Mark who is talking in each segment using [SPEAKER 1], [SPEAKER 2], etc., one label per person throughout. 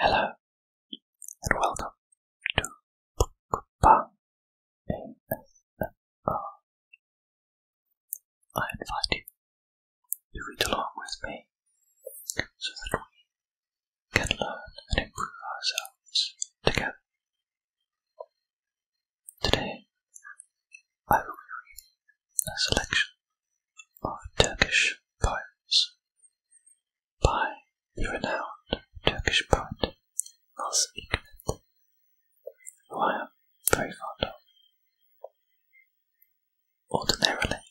[SPEAKER 1] Hello and welcome to Bookbang ASMR. I invite you to read along with me so that we can learn and improve ourselves together. Today I will be reading a selection of Turkish poems by the renowned Turkish poet Nas Hikmet, who I am very fond of. Ordinarily,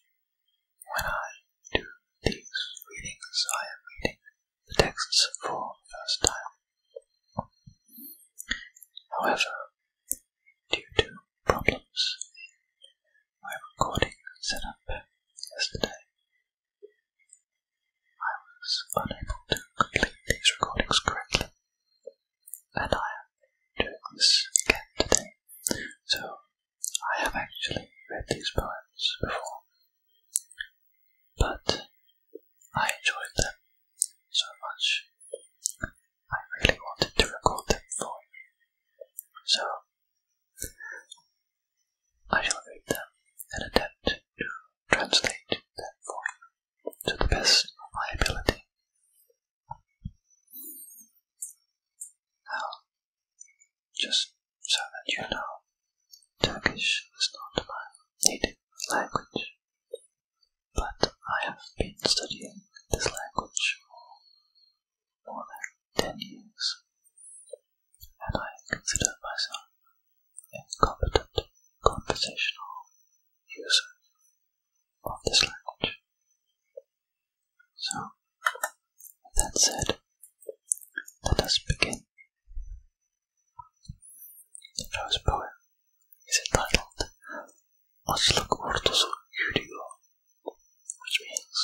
[SPEAKER 1] when I do these readings, I am reading the texts for the first time. However, due to problems in my recording setup yesterday. I was unable to complete these recordings correctly, and I am doing this again today. So, I have actually read these poems before, but I enjoyed them so much I really wanted to record them for you. So, I shall read them and attempt to translate them for you to the best of my ability. Now, just so that you know, Turkish is not my native language, but I have been studying this language for more than 10 years, and I consider myself a competent conversational user of this language. So, with that said, let us begin. The first poem is entitled Açlık Ordusu Yürüyor, which means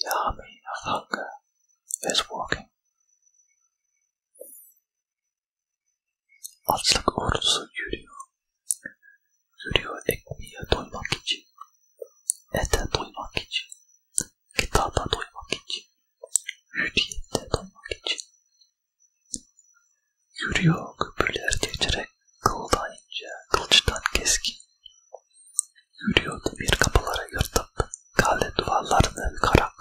[SPEAKER 1] the army of hunger is walking. Açlık ordusu yürüyor. Yürüyor ekmeğe doymak için, ete doymak için, kitaba doymak için, hürriyette doymak için, Yürüyor köprüler geçerek kıldan ince, kılçıdan keskin. Yürüyor demir kapılara yırtıp, kale duvarlarını yıkarak.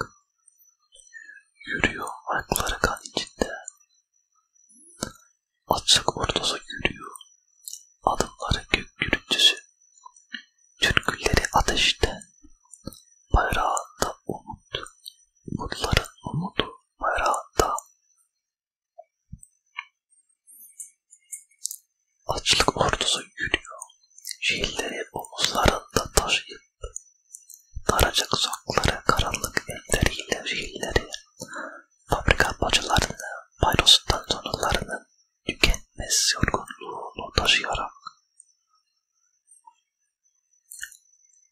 [SPEAKER 1] Yürüyor ayakları kan içinde. Açık ordusu yürüyor. Adımları gök gürültüsü. Türkülleri ateşte. Bayrağında umut. Mutluların umudu bayrağında. Açlık ordusu yürüyor. Şehirleri omuzlarında taşıyıp daracık sokakları karanlık elleriyle şehirleri fabrika bacalarını paylostan sonralarını tükenmez yorgunluğunu taşıyarak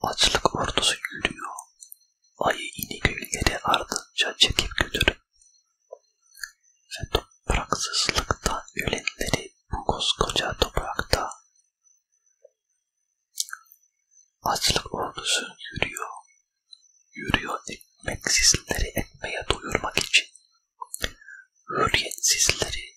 [SPEAKER 1] Açlık ordusu yürüyor. Ayı inegölleri ardınca çekip götürün. Ve topraksızlıkta ölenleri bu koskoca toprakta. Açlık ordusu yürüyor. Yürüyor ekmeksizleri ekmeğe doyurmak için. Hürriyetsizleri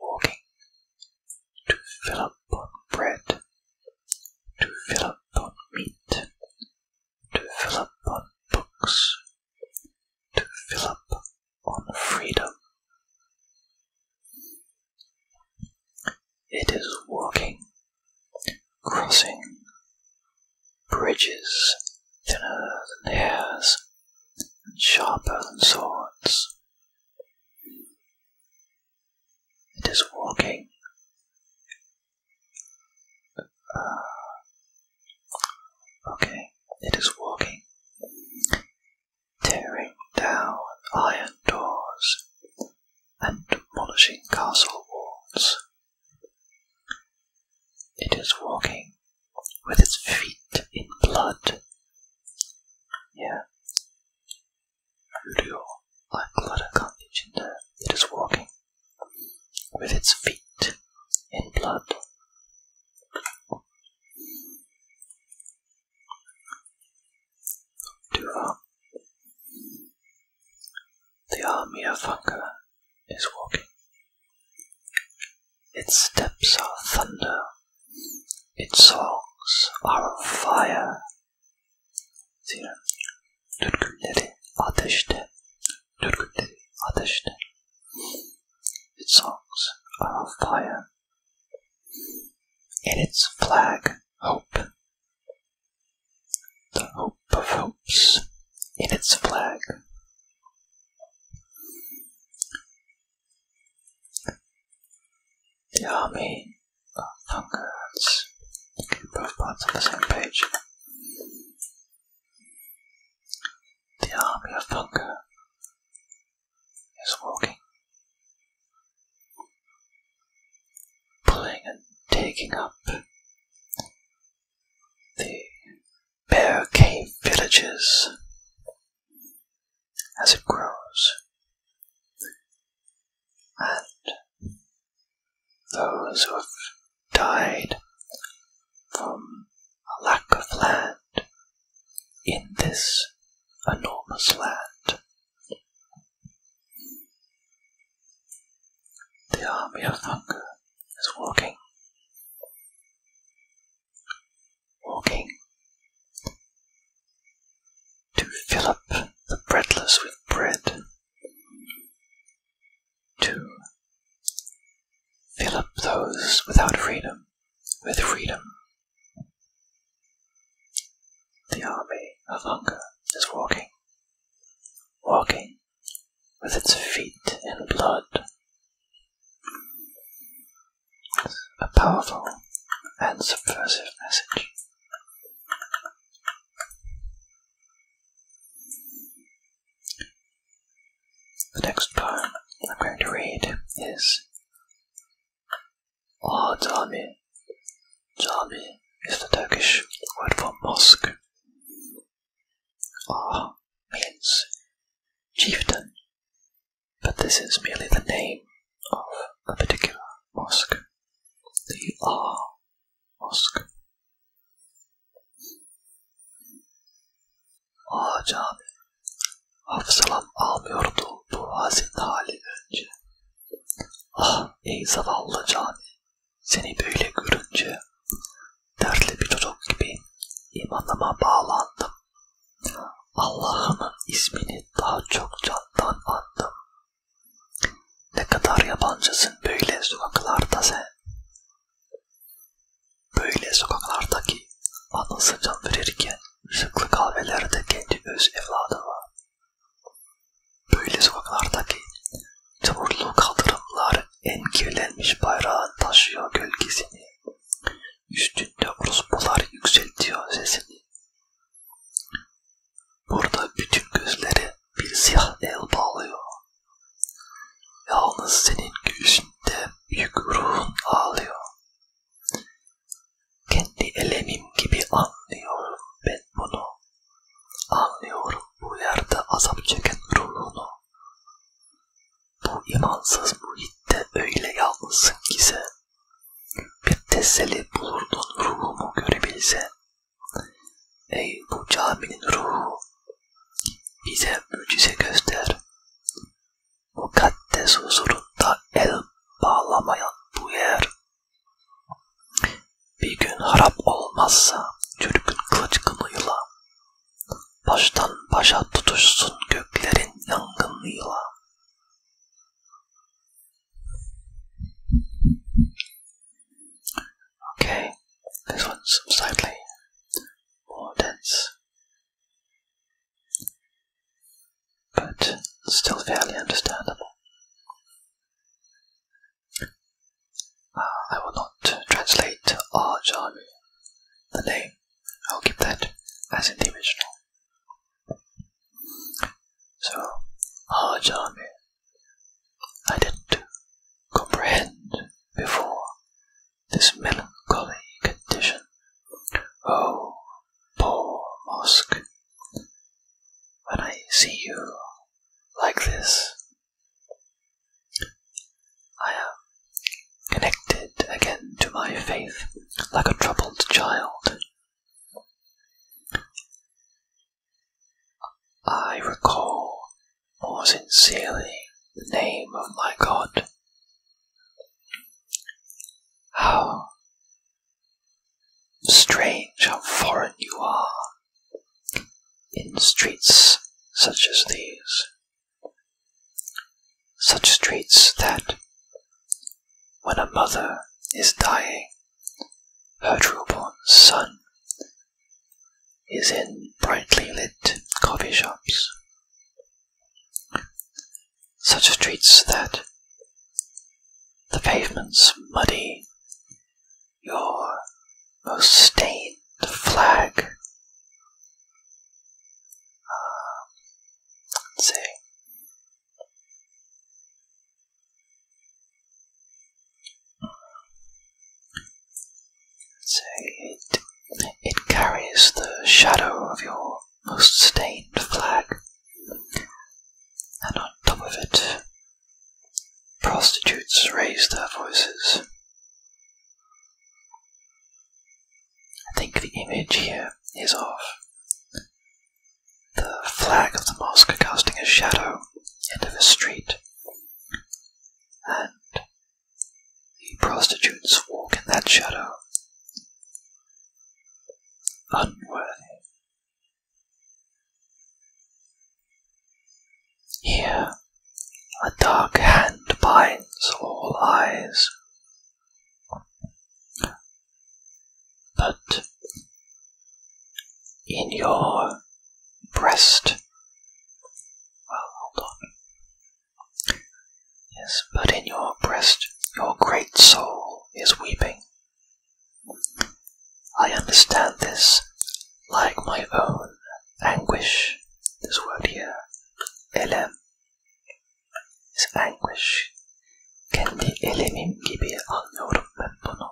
[SPEAKER 1] walking to fill up on bread, to fill up on meat, to fill up on books, to fill up on freedom. It is walking, crossing bridges thinner than hairs and sharper than swords. It is walking. Uh, okay, it is walking, tearing down iron doors and demolishing castle walls. It is walking with its feet in blood yeah. Voodoo, like blood and conditioner, it is walking with its feet in blood. Dura. Um, the army of hunger is walking its steps are thunder, its songs are fire. Its songs are fire. In its flag, hope. The hope of hopes in its flag. The army of Thungards. Both parts on the same page. The army of Thungar is walking, pulling and taking up the bear cave villages as it grows, and those who have died from a lack of land in this enormous land. The army of hunger is working walking, to fill up the breadless with bread, to fill up those without freedom with freedom. The army of hunger is walking, walking with its feet in blood a powerful and subversive message. The next poem I'm going to read is Ah oh, Cami. Cami is the Turkish word for mosque. Ah means chieftain but this is merely the name of a particular mosque. The R Mosque. A ah, Cami. Hafsalam almıyordu bu hazin hali önce. Ah ey zavallı cami, seni böyle görünce dertli bir çocuk gibi imanıma bağlandım. Allah'ın ismini daha çok candan andım. Ne kadar yabancısın böyle sokaklarda sen. Böyle sokaklardaki anısı can verirken ışıklı kahvelerde kendi öz evladı var. Böyle sokaklardaki çamurlu kaldırımlar engelenmiş bayrağın taşıyor gölgesini. Üstünde orospular yükseltiyor sesini. Burada bütün gözleri bir siyah el bağlıyor. Yalnız senin göğsünde büyük ruhun ağlıyor. Kendi elemim gibi anlıyorum ben bunu. Anlıyorum bu yerde azap çeken ruhunu. Bu imansız muhitte öyle yalnızsın ki sen. Bir teselli bulurdun ruhumu görebilse. Ey bu caminin ruhu, bize mucize göster. Mukaddes huzurunda el bağlamayan bu yer. Bir gün harap olmazsa çürükün kılıç kınıyla Okay, this one's slightly more dense, but still fairly understandable. Uh, I will not translate Ajami, the name I'll keep that as in the original. So, large ah, army. I didn't comprehend before this melancholy condition. Oh, poor Mosque. When I see you like this, I am connected again to my faith like a troubled child. I recall more sincerely the name of my God. How strange, how foreign you are in streets such as these. Such streets that, when a mother is dying, her newborn son is in brightly lit coffee shops. Such streets that the pavement's muddy, your most stained flag uh, let It, it carries the shadow of your most stained flag, and on top of it, prostitutes raise their voices. I think the image here is of the flag of the mosque casting a shadow into the street, and the prostitutes walk in that shadow. Unworthy. Here, a dark hand binds all eyes. But in your breast, well, hold on. Yes, but in your breast, your great soul is weeping. I understand this like my own anguish. This word here, elem, is anguish. Kendi elemim gibi anlıyorum ben bunu.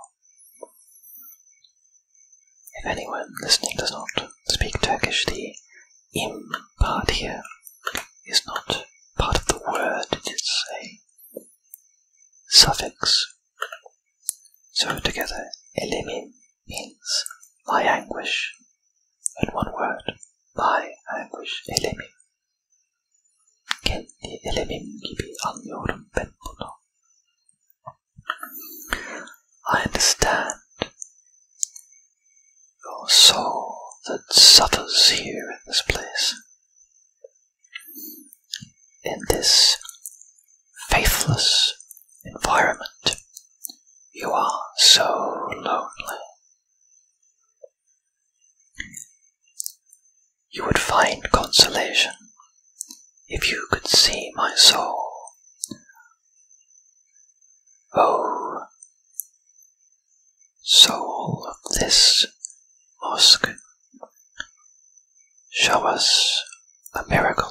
[SPEAKER 1] If anyone listening does not speak Turkish, the im part here is not part of the word, it is a suffix. So together, elimi means my anguish. In one word, my anguiş elemim. Kendi elemim gibi anlıyorum ben bunu. I understand your soul that suffers here in this place. In this faithless environment. You are so lonely. You would find consolation if you could see my soul. Oh, soul of this mosque, show us a miracle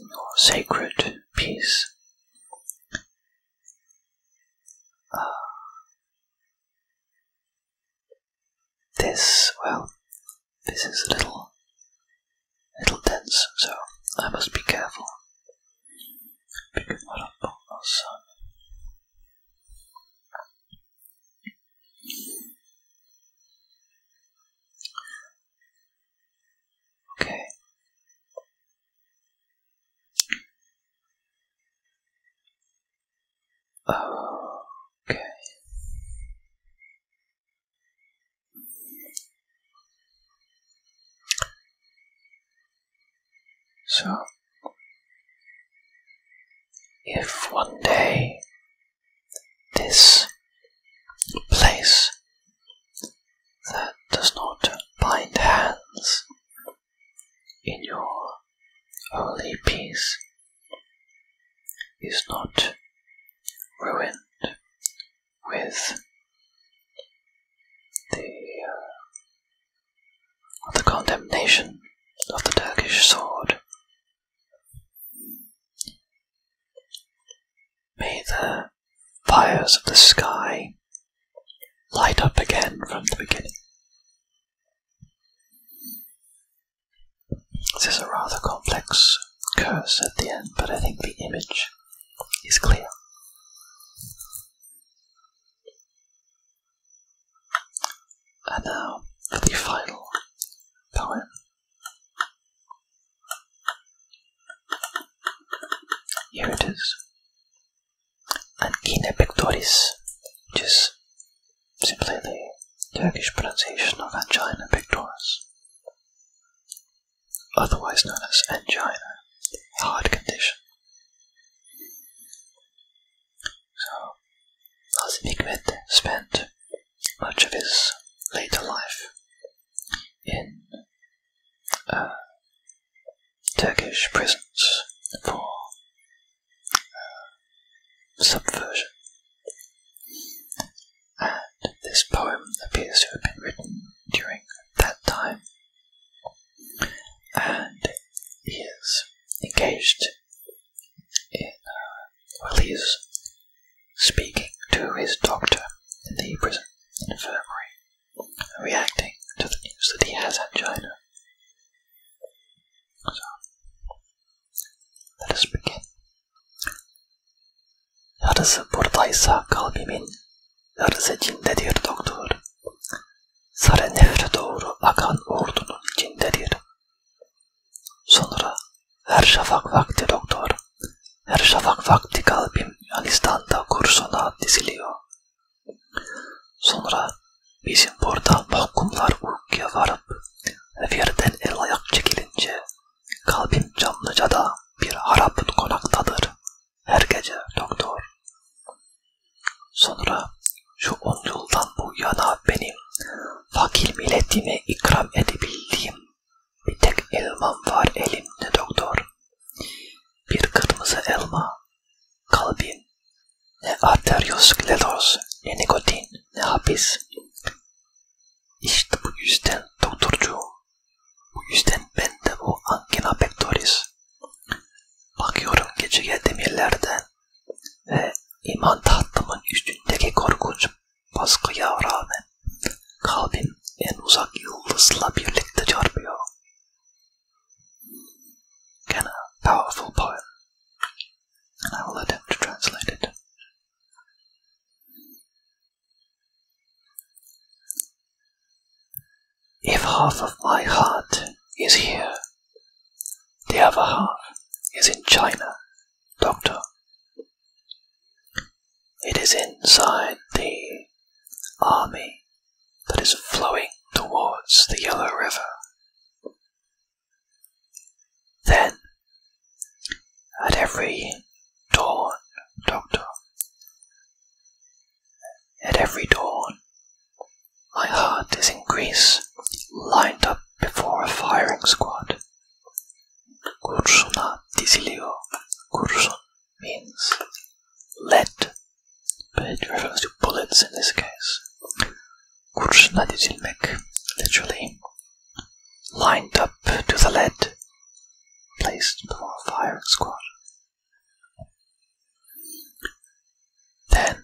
[SPEAKER 1] or sacred peace. Uh, this, well, this is a little, little dense, so I must be careful. Because what I've got Okay. Okay. So, if one day this place that does not bind hands in your holy peace is not ruined with the, uh, the condemnation of the Turkish sword. May the fires of the sky light up again from the beginning. This is a rather complex curse at the end, but I think the image is clear. And now for the final poem. Here it is. Angina pectoris, which is simply the Turkish pronunciation of angina pectoris, otherwise known as angina, a heart condition. So, Hazim Hikmet spent much of his later life in uh, Turkish prisons for uh, subversion. And this poem appears to have been written during that time, and he is engaged in, uh, speaking to his doctor in the prison infirmary, reacting to the news that he has angina. So, let us begin. Yarısı buradaysa kalbimin, yarısı cindedir doktor. Sarı nehre doğru akan ordunun cindedir. Sonra Her şafak vakti doktor. Her şafak vakti kalbim Yunanistan'da kursuna diziliyor. Sonra bizim burada mahkumlar uykuya varıp revirden el ayak çekilince kalbim Çamlıca'da bir harap konaktadır. Her gece doktor. Sonra şu on yıldan bu yana benim fakir milletime ikram edebildiğim bir tek elmam var elimde doktor. Bir kırmızı elma. Kalbin. Ne arterioskleroz, ne nikotin, ne hapis. İşte bu yüzden doktorcuğum. Bu yüzden bende bu angina pectoris. Bakıyorum gece demirlerden ve iman tahtımın üstündeki korkunç baskıya rağmen kalbim en uzak yıldızla birlikte çarpıyor. Again, a powerful poem, and I will attempt to translate it. If half of my heart is here, the other half is in China, Doctor. It is inside the army that is flowing towards the Yellow River. Then, at every dawn, Doctor, at every dawn, my heart is in Greece, lined up before a firing squad Kursuna Tisilio. Kursun means lead, but it refers to bullets in this case. Kursuna Tisilmek, literally lined up to the lead, placed before a firing squad. Then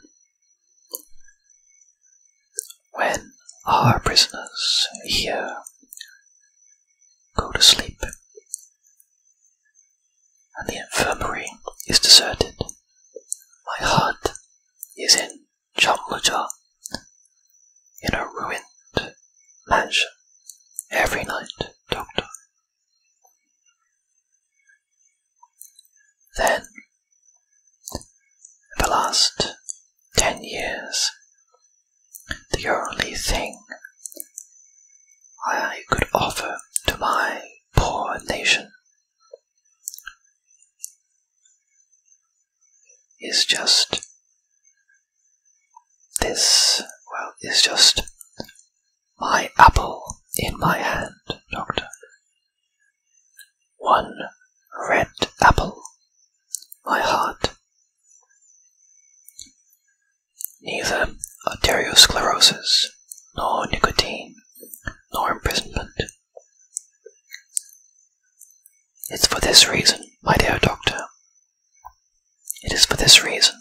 [SPEAKER 1] when our prisoners here go to sleep and the infirmary is deserted, my heart is in Chamlajar, in a ruined mansion, every night, Doctor. Then, the last ten years, the only thing I could offer to my poor nation is just this, well, is just my apple in my hand, Doctor. One red apple, my heart. Neither arteriosclerosis, nor nicotine, nor imprisonment. It's for this reason, my dear doctor. It is for this reason.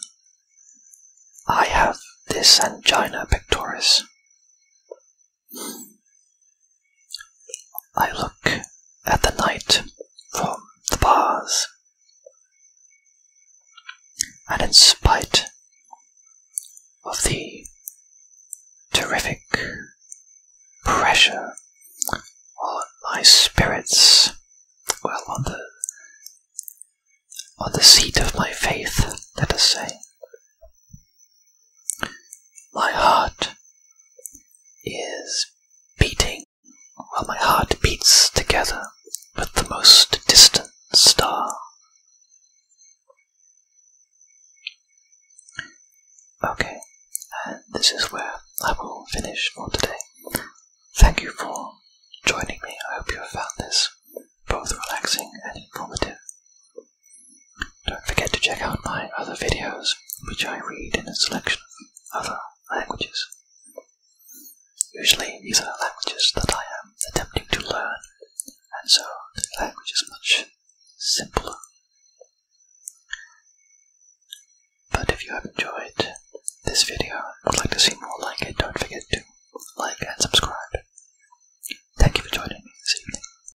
[SPEAKER 1] I have this angina pectoris. I look at the night from the bars, and in spite of the terrific pressure on my spirits, well, on the on the seat of my faith, let us say. My heart is beating, while my heart beats together with the most distant star. Okay, and this is where I will finish for today. Thank you for joining me. I hope you have found this both relaxing and informative. Don't forget to check out my other videos, which I read in a selection of other languages. Usually these are languages that I am attempting to learn, and so the language is much simpler. But if you have enjoyed this video and would like to see more like it, don't forget to like and subscribe. Thank you for joining me this evening.